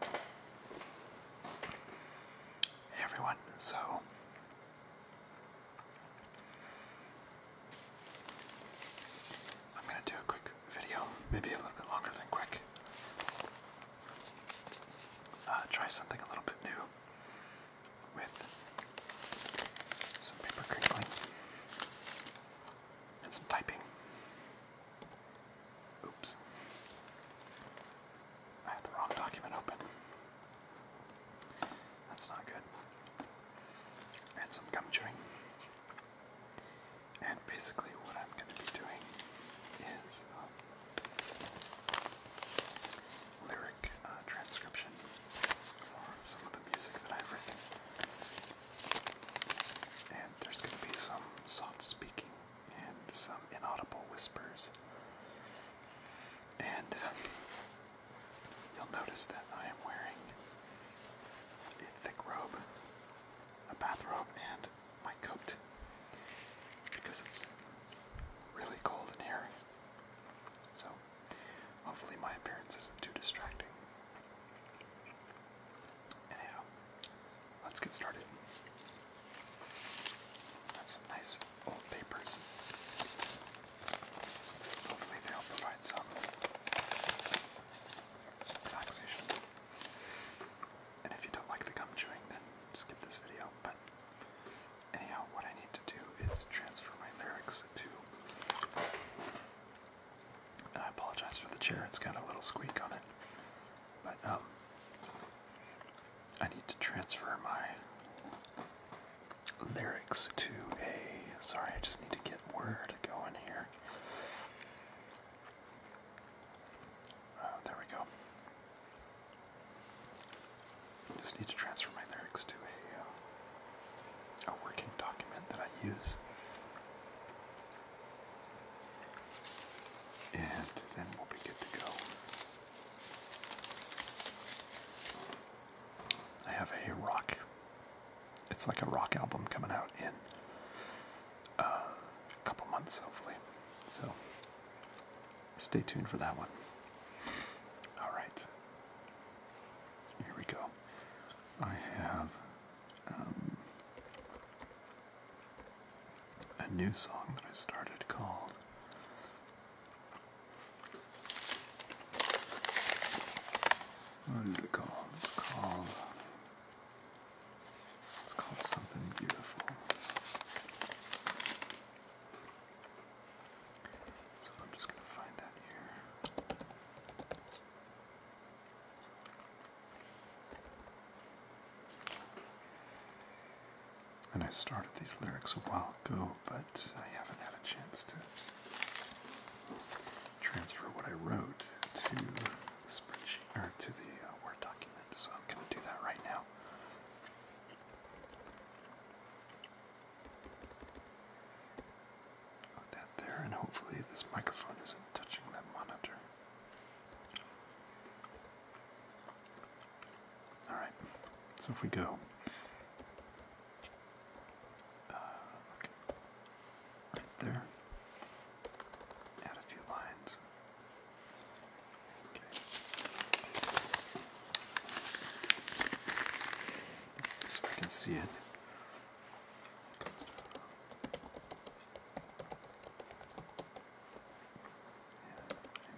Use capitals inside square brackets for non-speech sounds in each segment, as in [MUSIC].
Hey everyone, so I'm going to do a quick video, maybe a little bit longer than quick. Uh, try something a little bit new with some paper crinkling and some typing. Oops. I had the wrong document open. That's not good. And some gum chewing. And basically, what I'm going to be doing is um, lyric uh, transcription for some of the music that I've written. And there's going to be some soft speaking and some inaudible whispers. And uh, you'll notice that I am wearing a thick robe, a bathrobe, and my coat because it's really cold in here. So, hopefully, my appearance isn't too distracting. Anyhow, let's get started. Got some nice old papers. Hopefully, they'll provide some relaxation. And if you don't like the gum chewing, then skip this video. But anyhow, what I need to do is transfer my lyrics to. And I apologize for the chair, it's got a little squeak on it. But um, I need to transfer my lyrics to a. Sorry, I just need to get word going here. Uh, there we go. Just need to transfer my lyrics to a uh, a working document that I use. And then we'll be good to go. I have a rock. It's like a rock album coming out in uh, a couple months, hopefully. So stay tuned for that one. All right. Here we go. I have um, a new song that I started called what is it called? It's called it's called something beautiful. So I'm just going to find that here. And I started these lyrics a while ago, but I haven't had a chance to transfer what I wrote to the spreadsheet or to the uh, Word document, so I'm going to do that right now. Put that there, and hopefully this microphone isn't touching that monitor. All right, so if we go, uh, right there, add a few lines. Okay. So we can see it.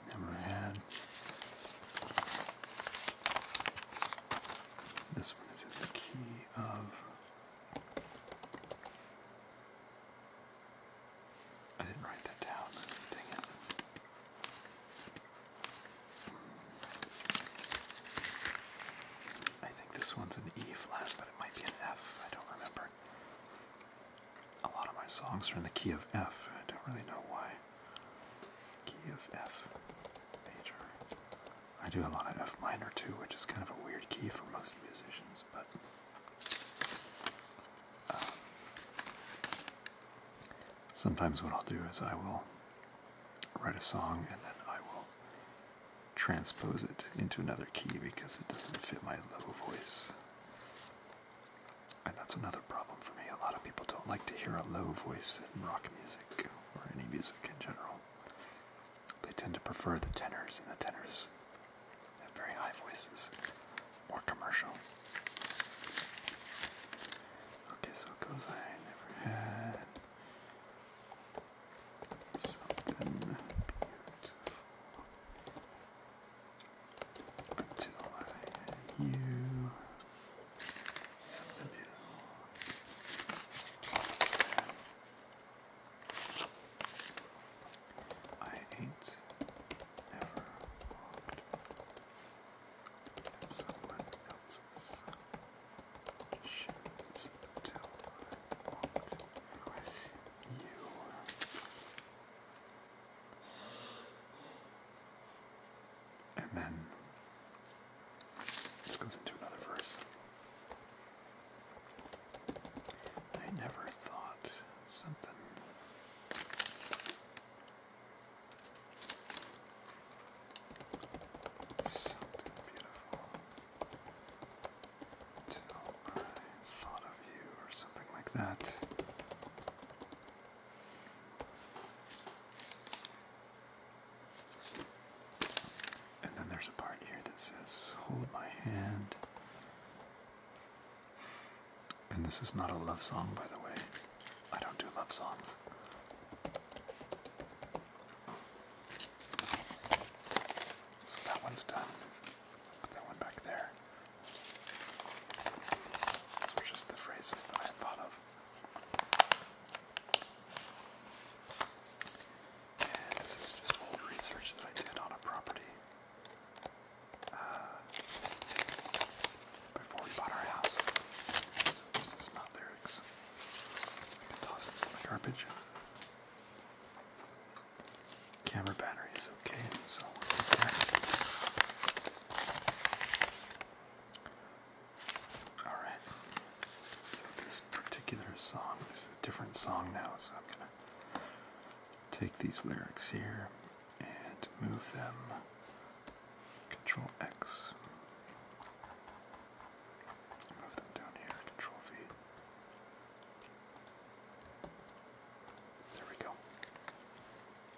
I never had. This one is in the key of. I didn't write that down. Dang it. I think this one's in E flat, but it might be an F. I don't remember. A lot of my songs are in the key of F. I don't really know why. Key of F major. I do a lot of F minor too, which is kind of a weird key for most musicians, but. Uh, sometimes what I'll do is I will write a song and then I will transpose it into another key because it doesn't fit my low voice. And that's another problem for me. A lot of people don't like to hear a low voice in rock music or any music in general. They tend to prefer the tenors, and the tenors have very high voices, more commercial. Okay, so it goes, I never had. Something beautiful until I you something beautiful. I ain't ever loved someone else's shoes until I walked in you. And then this goes into another verse. I never thought something. Something beautiful. Till I thought of you or something like that. And then there's a part here that says, Hold my hand. And this is not a love song, by the way. I don't do love songs. So that one's done. Put that one back there. These just the phrases that I thought of. And this is just old research that I did on a property uh, before we bought our house. this is not lyrics. I can toss this in the garbage. Camera battery is okay, so Alright. So this particular song is a different song now, so I'm gonna take these lyrics here and move them control X. Move them down here, control V. There we go.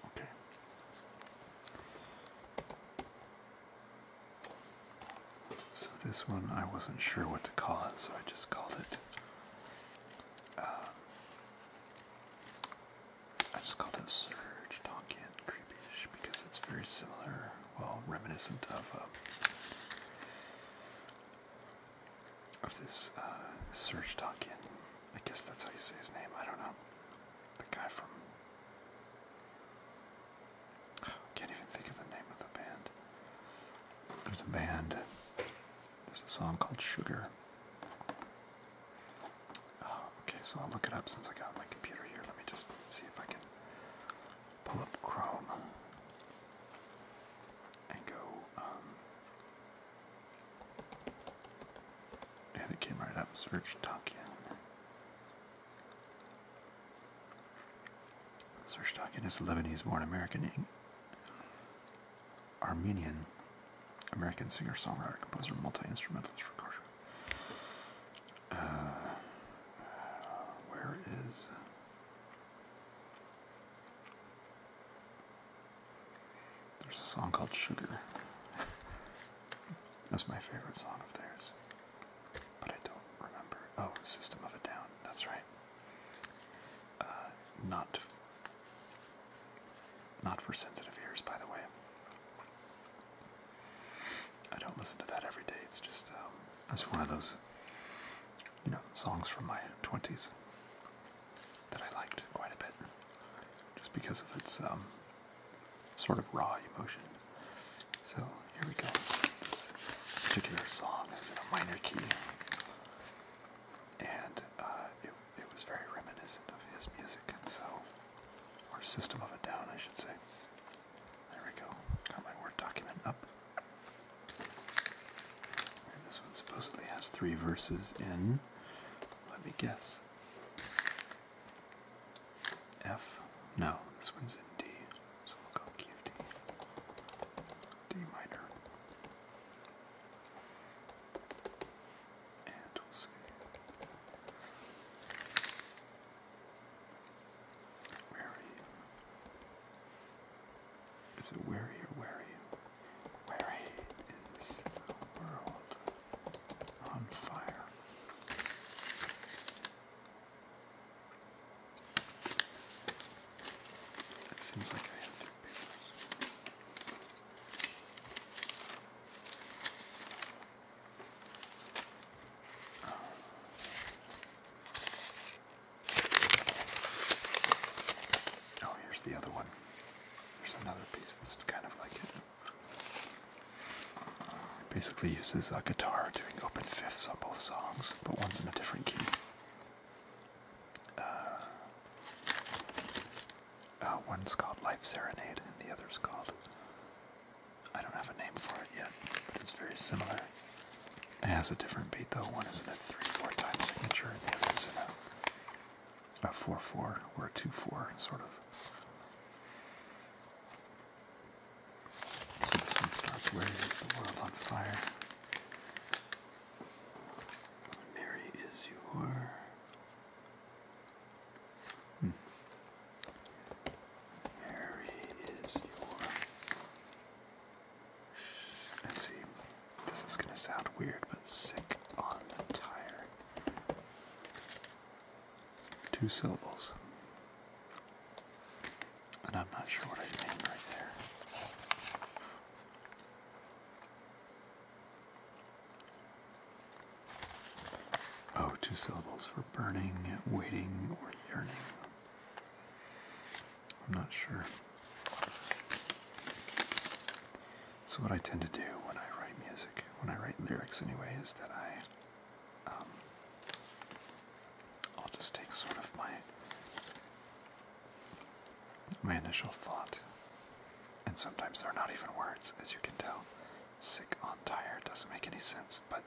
Okay. So this one I wasn't sure what to call it, so I just called it. Uh, I just called it Surge Tonkin Creepyish because it's very similar, well, reminiscent of. Um, of this uh, Serge Tankian. I guess that's how you say his name. I don't know. The guy from. [SIGHS] can't even think of the name of the band. There's a band. There's a song called Sugar. Oh, okay, so I'll look it up since I got my computer here. Let me just see if I can pull up Chrome and go, um, and it came right up, search token. Search token is a Lebanese-born American, Armenian, American singer, songwriter, composer, multi-instrumentalist, for Uh, where is there's a song called Sugar. That's my favorite song of theirs. But I don't remember. Oh, System of a Down. That's right. Uh, not, not for sensitive ears, by the way. I don't listen to that every day. It's just um, one of those you know, songs from my 20s that I liked quite a bit, just because of its um, sort of raw emotion. So here we go. This particular song is in a minor key, and uh, it, it was very reminiscent of his music, and so, or System of a Down, I should say. There we go. Got my Word document up. And this one supposedly has three verses in, let me guess, F? No, this one's in D, so we'll go D, D minor. And we'll see. Where are you? is a wearier weary. Wary is the world on fire. It seems like I have two papers. Oh. Oh, here's the other one. There's another piece that's kind of like it. basically uses a guitar doing open fifths on both songs, but one's in a different key. Uh, uh, one's called Life Serenade, and the other's called. I don't have a name for it yet, it's very similar. It has a different beat though. One is in a 3-4 time signature and the other is in a 4-4 or a 2-4 sort of. So this one starts, where is the world on fire? Mary is your... Hmm. Mary is your and see, this is going to sound weird, but sick on the tire. Two syllables. And I'm not sure what I mean right there. Oh, two syllables for burning, waiting, or yearning. I'm not sure. So what I tend to do when I write music, when I write lyrics anyway, is that I, um, I'll just take sort of my my initial thought, and sometimes they're not even words, as you can tell. Sick on tire doesn't make any sense, but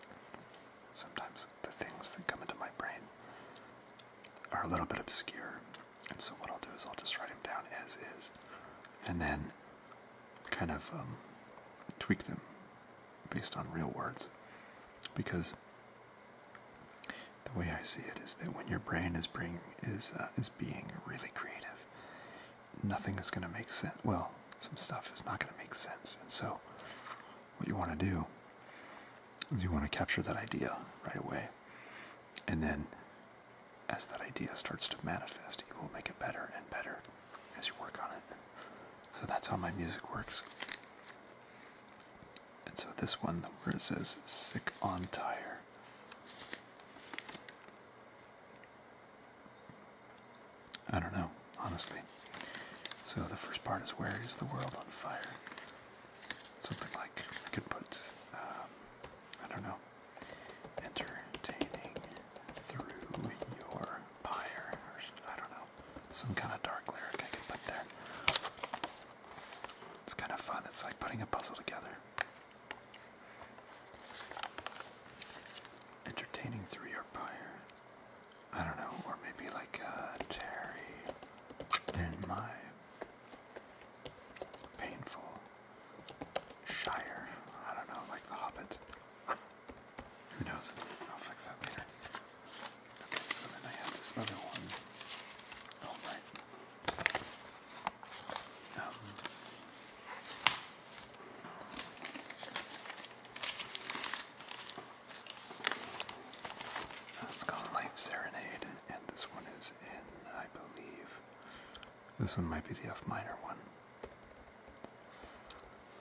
sometimes the things that come into my brain are a little bit obscure. And so what I'll do is I'll just write them down as is and then kind of um, tweak them based on real words. Because the way I see it is that when your brain is, bring, is, uh, is being really creative, nothing is going to make sense. Well, some stuff is not going to make sense. And so what you want to do is you want to capture that idea right away. And then, as that idea starts to manifest, you will make it better and better as you work on it. So that's how my music works. And so this one, where it says sick on tire. I don't know, honestly. So the first part is where is the world on fire? something like I could put, um, I don't know, entertaining through your pyre, or I don't know, some kind of dark lyric I could put there. It's kind of fun. It's like putting a puzzle together. Entertaining through your pyre. I don't know, or maybe like uh, Terry in my painful shire. I don't know, like the Hobbit. Who knows? I'll fix that later. Okay, so then I have this other one. Oh, right. Um, uh, called Life Serenade, and this one is in, I believe, this one might be the F minor one.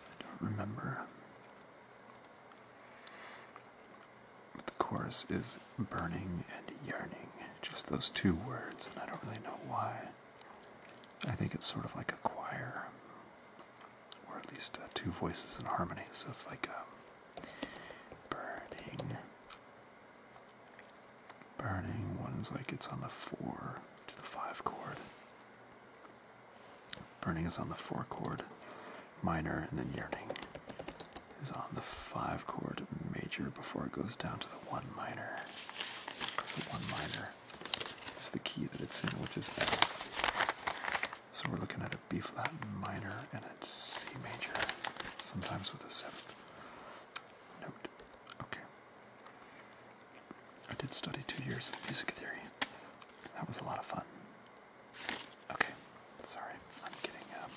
I don't remember. the chorus is burning and yearning, just those two words, and I don't really know why. I think it's sort of like a choir, or at least uh, two voices in harmony, so it's like um, Burning. Burning. One's like it's on the four to the five chord. Burning is on the four chord minor, and then yearning is on the five chord major before it goes down to the one minor. Because the one minor is the key that it's in, which is F. So we're looking at a B flat minor and a C major, sometimes with a seventh note. Okay. I did study two years of music theory. That was a lot of fun. Okay, sorry, I'm getting um,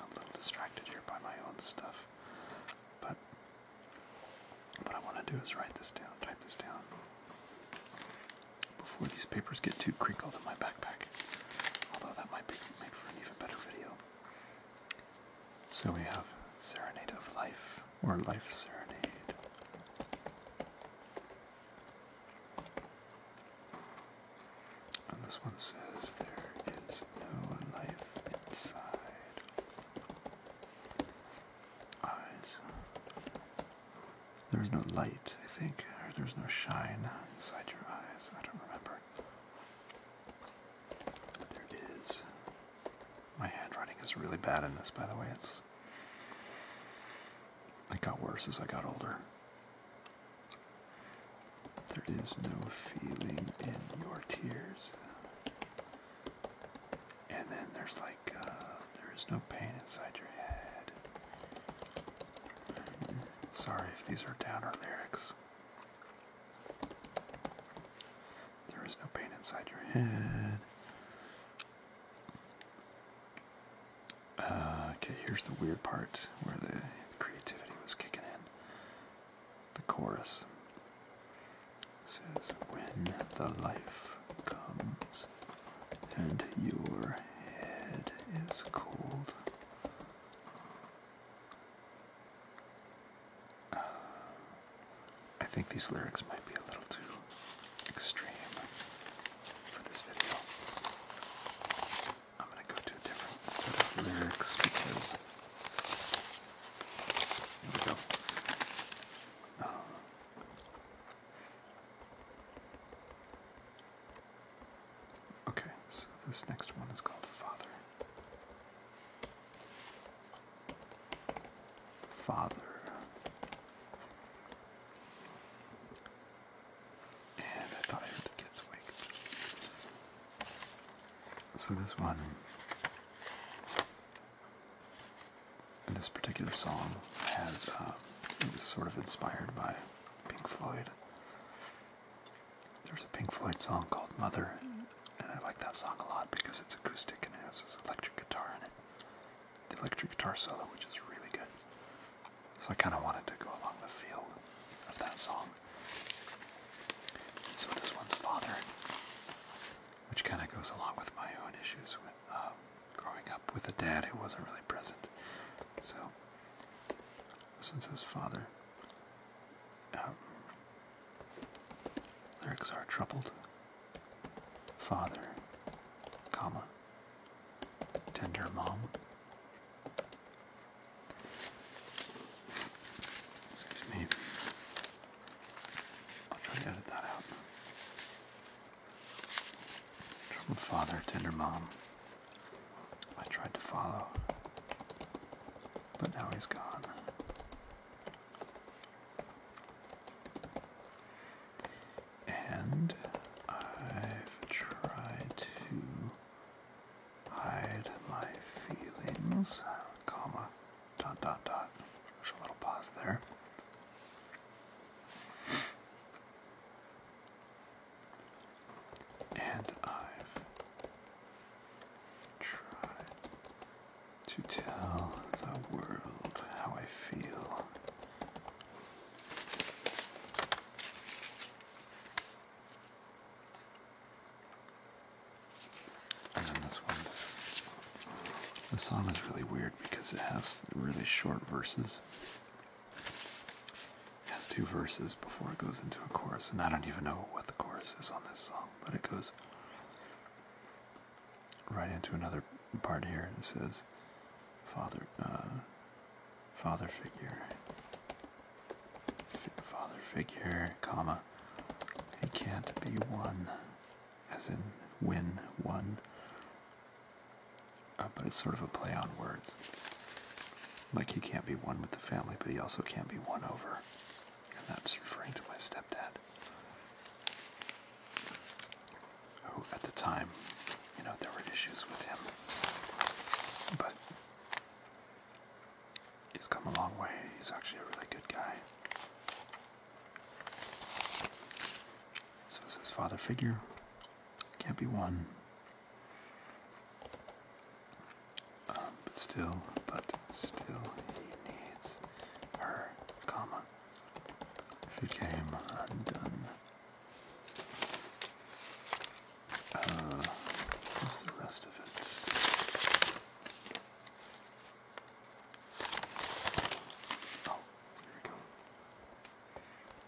a little distracted here by my own stuff. But what I want to do is write this down, type this down before these papers get too crinkled in my backpack. Although that might make for an even better video. So we have Serenade of Life, or Life Serenade. And this one says, There is no life inside. Eyes there's no light, I think, or there's no shine inside your eyes. I don't remember. There is. My handwriting is really bad in this, by the way. It's. It got worse as I got older. There is no feeling in your tears. And then there's like, uh, there is no pain inside your head. Sorry if these are downer lyrics. There is no pain inside your head. Uh, okay, here's the weird part where the creativity was kicking in. The chorus says, When the life comes and your head is cold. Uh, I think these lyrics might be a little too extreme for this video. I'm going to go to different lyrics because. Here we go. Uh, Okay, so this next one is called Father. Father. And I thought I heard the kids wake. So this one, this particular song, has uh, was sort of inspired by Pink Floyd. There's a Pink Floyd song called Mother, and I like that song a lot because it's acoustic and it has this electric guitar in it. The electric guitar solo, which is really good. So I kind of wanted to go along the feel of that song. So this one's Father, which kind of goes along with my own issues with um, growing up with a dad who wasn't really present. So this one says, Father, um, lyrics are troubled. Father, comma, tender mom. Excuse me. I'll try to edit that out. Troubled father, tender mom. I tried to follow, but now he's gone. And I've tried to hide my feelings, comma, dot, dot, dot. There's a little pause there. And I've tried to tell the world how I feel. And then this one, the song is really weird because it has really short verses. It has two verses before it goes into a chorus, and I don't even know what the chorus is on this song, but it goes right into another part here, and it says, "Father, uh, father figure, father figure, comma, he can't be won, as in win one, uh, but it's sort of a play on words. Like he can't be one with the family, but he also can't be won over. And that's referring to my stepdad, who at the time, you know, there were issues with him. But he's come a long way. He's actually a really good guy. So it says, father figure. Can't be one. Um, but still, but still, he needs her, comma. She came undone. Uh, what's the rest of it? Oh, here we go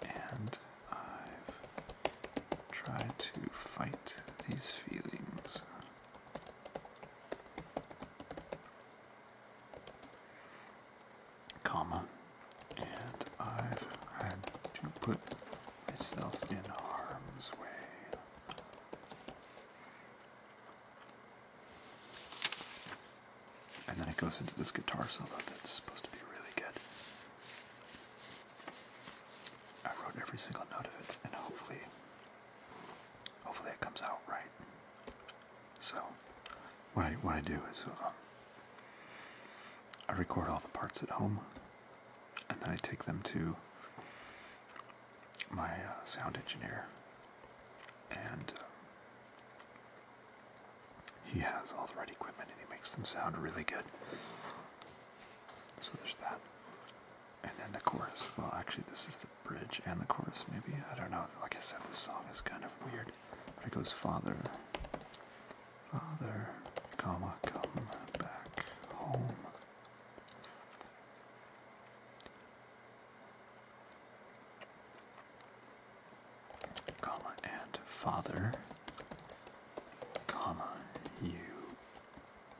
and I've tried to fight these feelings. Comma, and I've tried to put myself in harm's way. And then it goes into this guitar solo that's supposed to be really good. I wrote every single note of it, and hopefully, hopefully it comes out right. So, what I what I do is, uh, I record all the parts at home, and then I take them to my uh, sound engineer, and uh, he has all the right equipment and he makes them sound really good. So there's that. And then the chorus. Well, actually, this is the bridge and the chorus, maybe. I don't know. Like I said, this song is kind of weird. But it goes Father, Father, comma, come back home comma, and father, comma, you,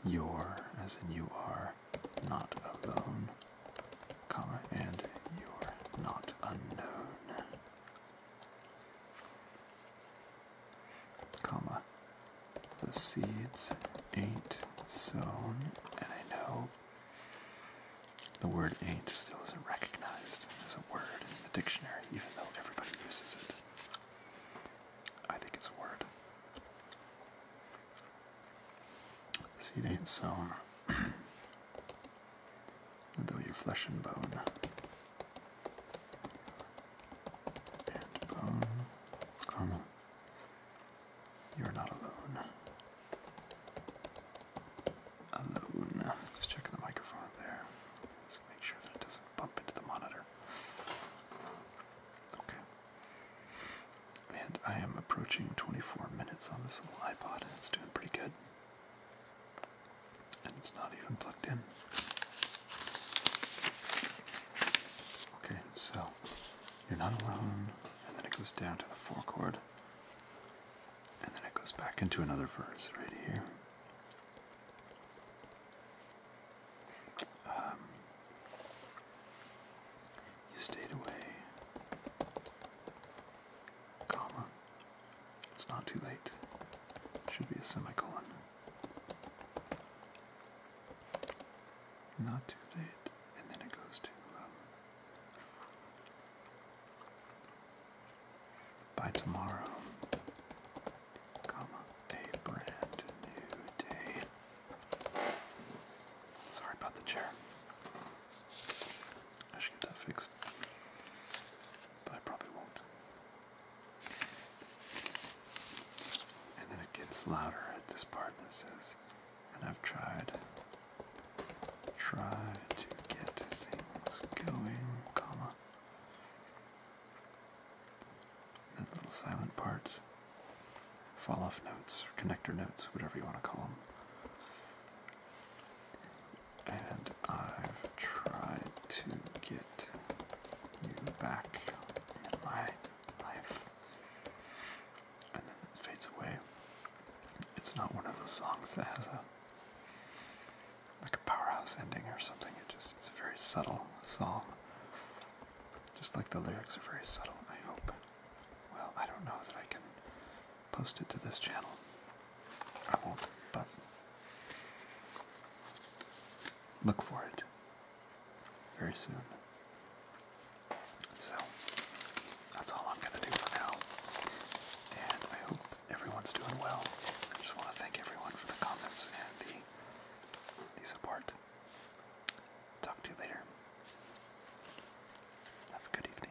you're as in you are not alone, comma, and you're not unknown, comma, the seeds ain't sown, and I know the word ain't still isn't recognized as a word in the dictionary, even though everybody uses it. I think it's a word. Seed ain't sown, [CLEARS THROAT] though your flesh and bone. bone, Carmel, you're not alone alone. Just checking the microphone there. Let's make sure that it doesn't bump into the monitor. Okay. And I am approaching 24 minutes on this little iPod. It's doing pretty good. And it's not even plugged in. Okay, so you're not alone. And then it goes down to the four chord. And then it goes back into another verse right here. Um, you stayed away, It's not too late. Should be a semicolon. Not too late, and then it goes to um, by tomorrow, comma, a brand new day. Sorry about the chair. I should get that fixed, but I probably won't. And then it gets louder at this part and says, and I've tried, tried to get things going, comma, that little silent part. Fall off notes, or connector notes, whatever you want to call them. And I've tried to get you back in my life. And then it fades away. It's not one of those songs that has a like a powerhouse ending or something. It just it's a very subtle song. Just like the lyrics are very subtle, I hope. Well, I don't know that I can post it to this channel. I won't, but look for it very soon. So that's all I'm gonna do for now. And I hope everyone's doing well. I just want to thank everyone for the comments and the the support. Talk to you later. Have a good evening.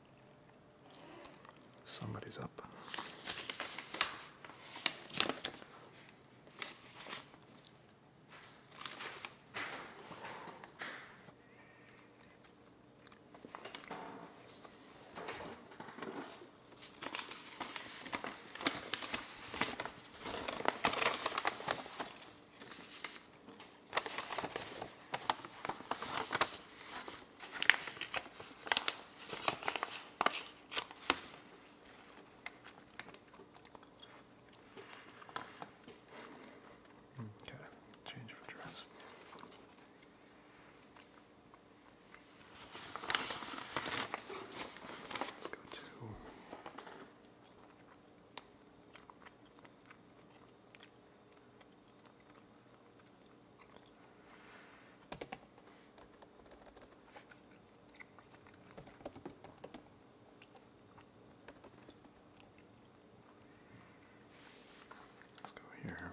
Somebody's up. Okay, change address. Let's go to Let's go here.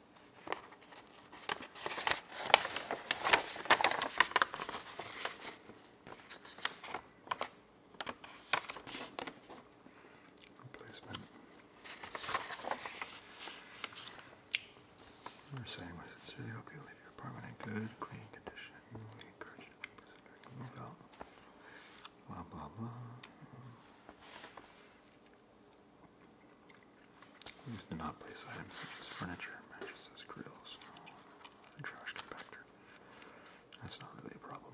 Replacement. We're saying we sincerely hope you leave your apartment in good, clean condition. We encourage you to move out. Blah blah blah. These do not place items such as furniture, mattresses, grills, and trash compactor. That's not really a problem.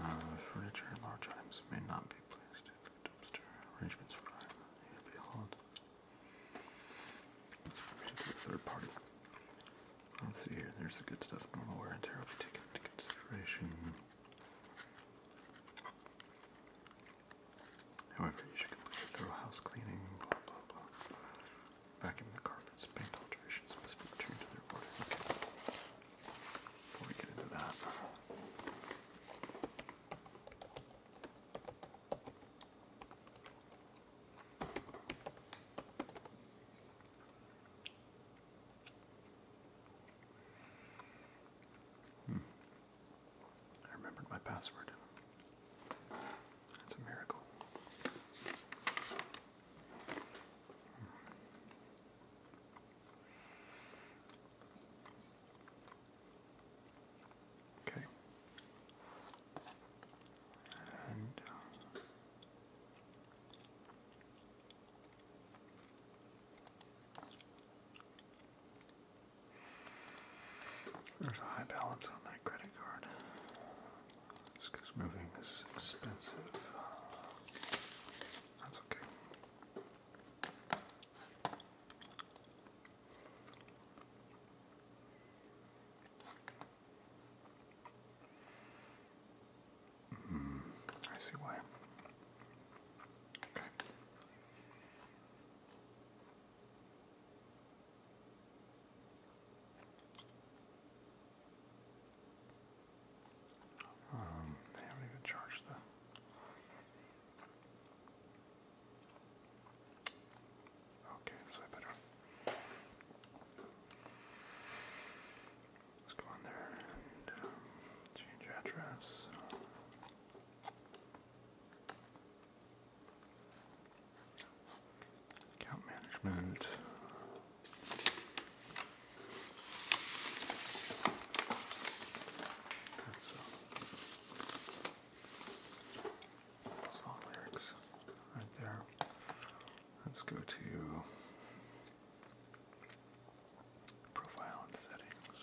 Uh, furniture and large items may not be placed in the dumpster. Arrangements for items need to be held. Let's see here. There's the good stuff. Normal wear and tear will be taken into consideration. However, you should complete a thorough house cleaning, blah blah blah. Vacuum the carpets, paint alterations must be returned to their order. Before we get into that. Hmm. I remembered my password. That's a miracle. Okay. And uh, there's a high balance on that credit card. This because moving is expensive. That's okay. Mm, I see why. Um, they haven't even charged the. Okay, so I better. Let's go on there and um, change address. Account management. That's uh, lyrics right there. Let's go to profile and settings.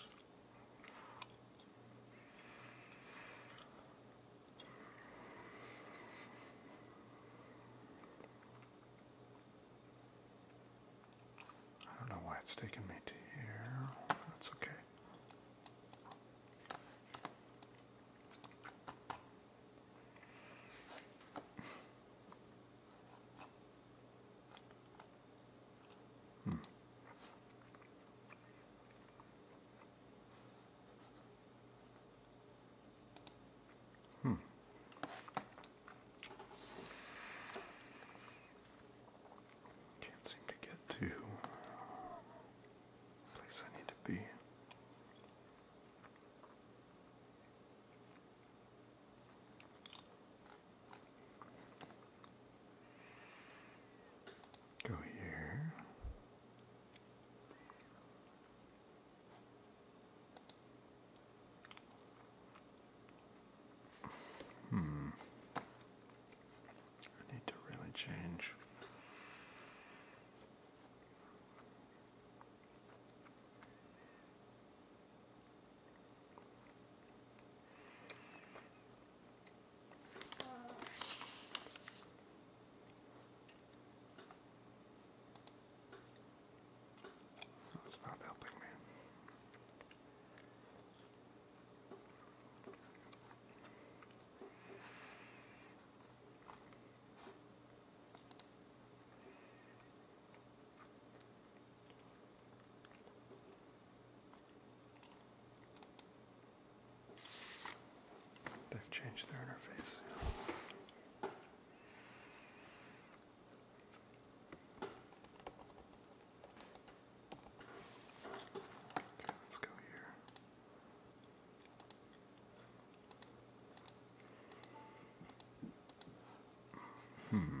I don't know why it's taken me to here. That's okay. Hmm. Hmm. Can't seem to get to place I need to be. Go here. Hmm. I need to really change. That's not helping me. They've changed their interface. Okay, let's go here. Hmm.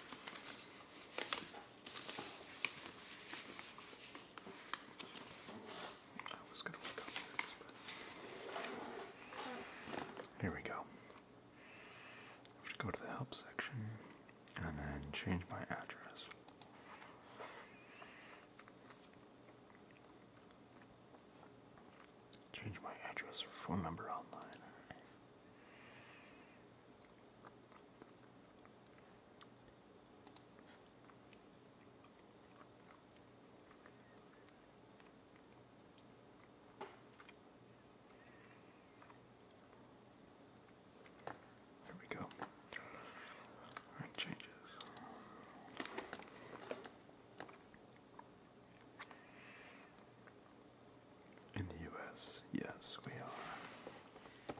I here we go. have to go to the help section and then change my address. Change my address or phone number online. There we go. All right, changes. In the US, yes, we are.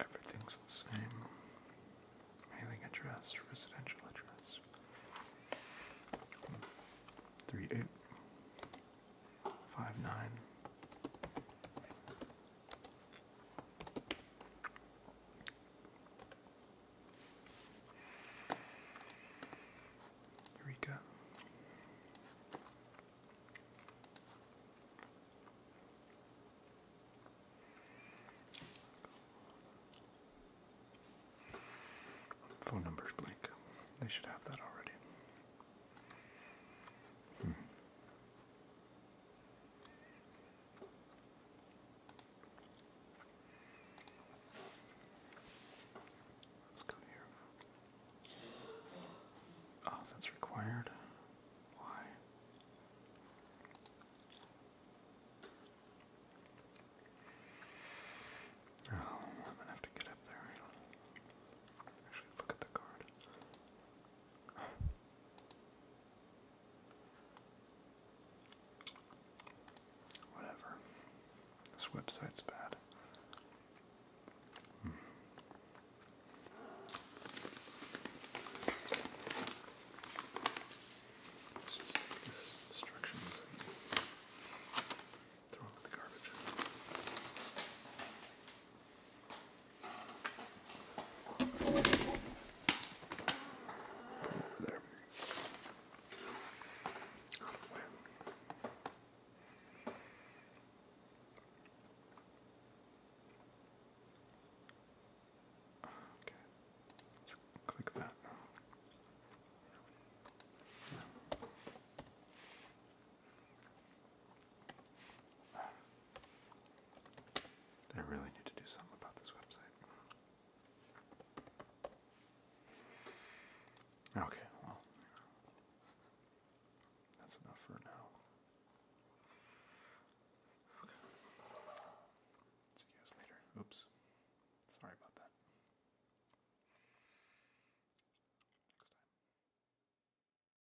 Everything's the same. Mailing address, residential address. Three eight five nine Eureka. Phone numbers blank. They should have that already. Hmm. Let's go here. Oh, that's required. Why? Oh, I'm gonna have to get up there. Actually, look at the card. Whatever. This website's bad. Let's just take this instructions throw it in the garbage. There. Okay. Let's click that now. Yeah. I really need to do something about this website. Okay, well, that's enough for now. Okay. See you guys later. Oops. Sorry about that. Next time.